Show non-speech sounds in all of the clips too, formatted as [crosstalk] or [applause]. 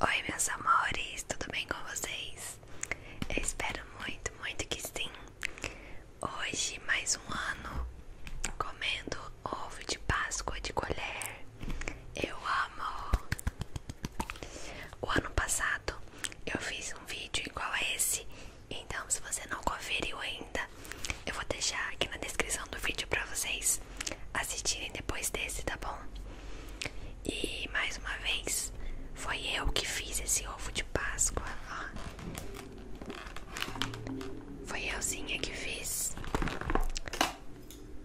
Oi, meus amores, tudo bem com vocês? Eu espero muito, muito que sim. Hoje, mais um ano comendo ovo de Páscoa de colher. Eu amo! O ano passado eu fiz um vídeo igual a esse, então se você não conferiu ainda, eu vou deixar aqui na descrição do vídeo pra vocês assistirem depois desse, tá bom? E mais uma vez, foi eu que fiz esse ovo de Páscoa, ó. Foi euzinha que fiz.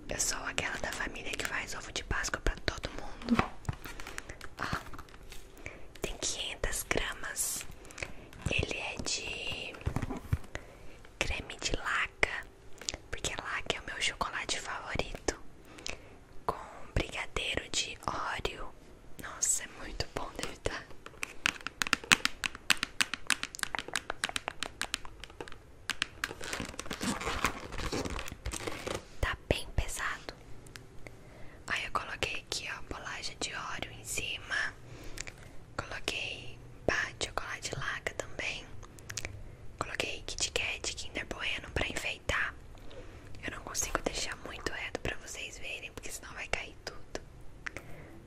Eu sou aquela da família que faz ovo de Páscoa pra todo mundo. Ó, tem 500 gramas. Ele é de creme de laca porque é lá que é o meu chocolate favorito, com brigadeiro de Oreo. Nossa, é muito bom dele tá. Tá bem pesado. Aí eu coloquei aqui ó, bolacha de Oreo em cima. Coloquei pá de chocolate laca também. Coloquei Kit Kat, Kinder Bueno pra enfeitar. Eu não consigo deixar muito reto pra vocês verem, porque senão vai cair tudo.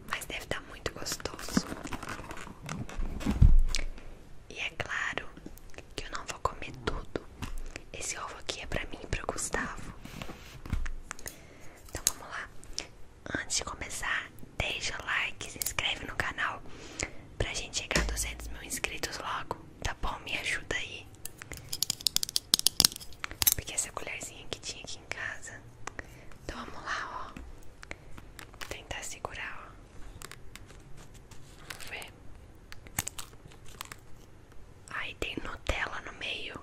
Mas deve estar tá muito gostoso. E é claro que eu não vou comer tudo. Esse ovo aqui é pra mim e pro Gustavo. Então vamos lá. Antes de começar, deixa o like, se inscreve no canal pra gente chegar a 200 mil inscritos logo, tá bom? Me ajuda aí. Porque essa colherzinha que tinha aqui em casa. Então vamos lá, ó. Vou tentar segurar, ó. Vamos ver. Aí tem Nutella no meio.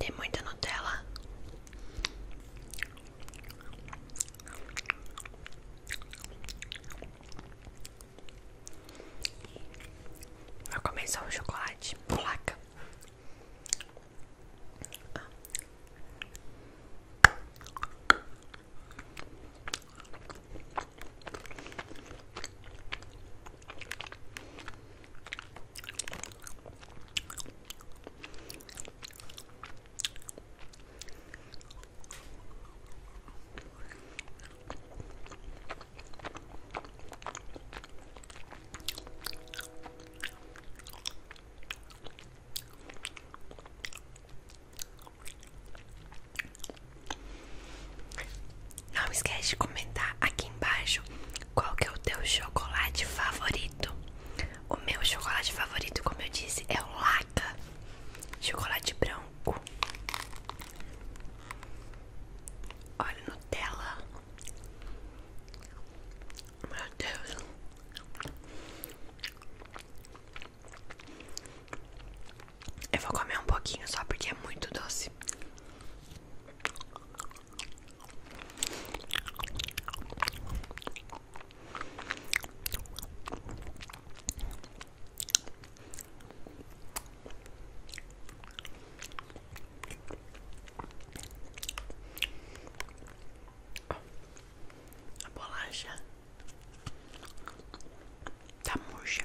Tem muita Nutella. Vai começar o chocolate, placa. Não esquece de comentar aqui embaixo qual que é o teu chocolate favorito? O meu chocolate favorito, como eu disse, é o Laca Chocolate branco Olha Nutella Meu Deus Eu vou comer um pouquinho só porque é muito doce a bolacha tá murcha.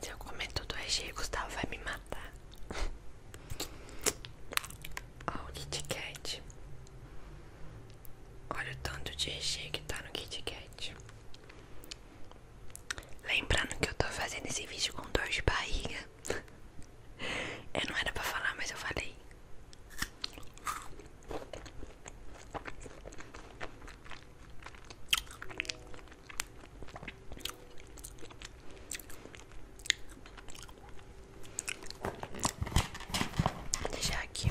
Se eu comer tudo recheio, Gustavo vai me matar [laughs] Ó, o Kit Kat. Olha o tanto de recheio que tá no Kit Kat. Lembrando que eu tô fazendo esse vídeo com dor de barriga. [laughs] Eu não era pra falar, mas eu falei. Vou deixar aqui.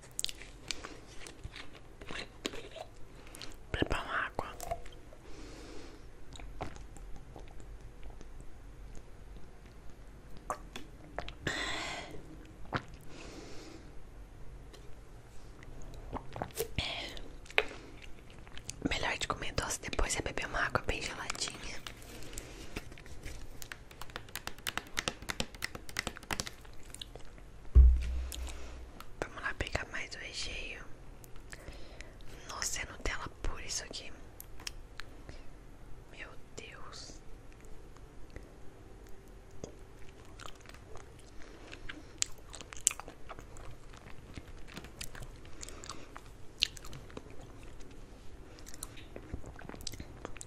Beba uma água. Melhor de comer doce depois é beber uma água bem geladinha. Vamos lá pegar mais o recheio. Nossa, é Nutella pura isso aqui. Meu Deus.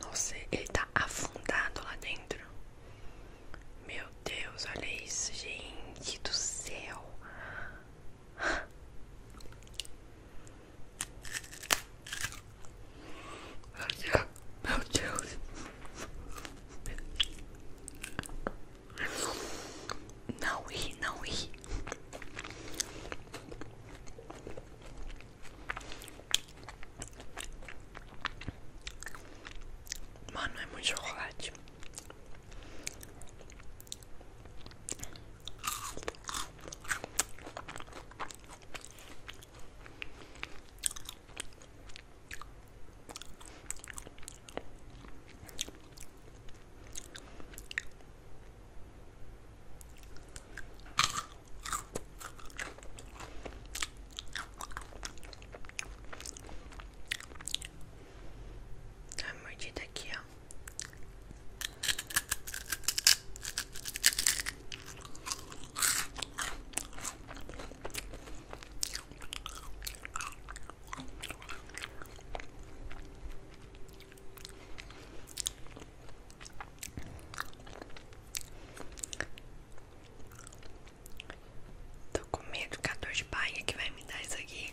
Nossa, ele tá afundado lá dentro. Meu Deus, olha isso, gente do céu. Meu Deus, Não ir, não ir. Mano, é muito chocolate. Tá mordida aqui, ó. Estou com medo que a de baia que vai me dar isso aqui.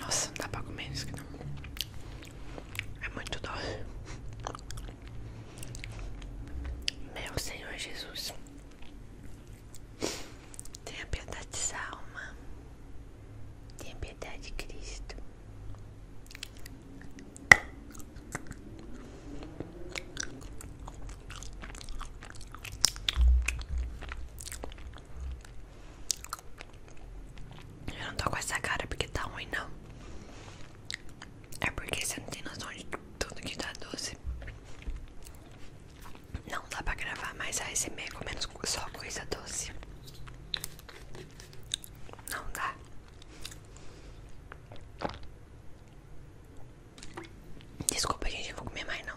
Nossa, dá pra comer isso aqui não. É muito doce. Meu Senhor Jesus. Tenha piedade dessa alma. Tenha piedade de Cristo. Eu não tô com essa cara porque tá ruim, não. É porque você não tem noção de tudo que tá doce. Não dá pra gravar mais a com menos só coisa doce. Não dá. Desculpa, a gente, eu vou comer mais não.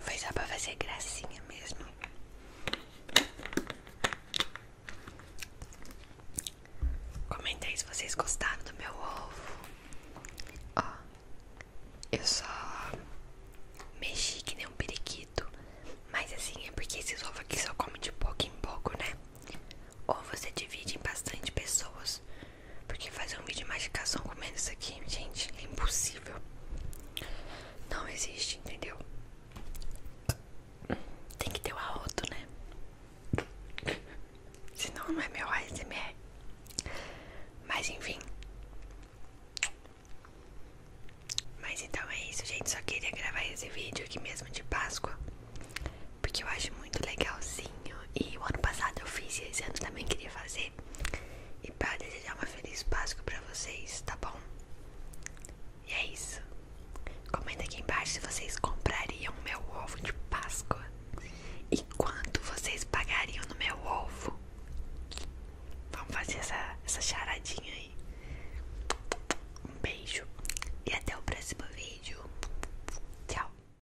Foi só pra fazer gracinha mesmo. Comenta aí se vocês gostaram do meu ovo. Ó, eu só mexi que nem um periquito. Mas assim, é porque esses ovos aqui só comem de pouco em pouco, né? Ou você divide em bastante pessoas porque fazer um vídeo de mastigação comendo isso aqui, gente, é impossível. Não existe, entendeu? Tem que ter o um né? Senão não é meu ASMR. Mas enfim. Mas então é isso, gente. Só queria gravar esse vídeo aqui mesmo de Páscoa. Porque eu acho muito legal sim e o ano passado eu fiz e esse ano também queria fazer. E para desejar uma feliz Páscoa pra vocês, tá bom? E é isso. Comenta aqui embaixo se vocês comprariam meu ovo de Páscoa. E quanto vocês pagariam no meu ovo? Vamos fazer essa, essa charadinha aí. Um beijo e até o próximo vídeo. Tchau.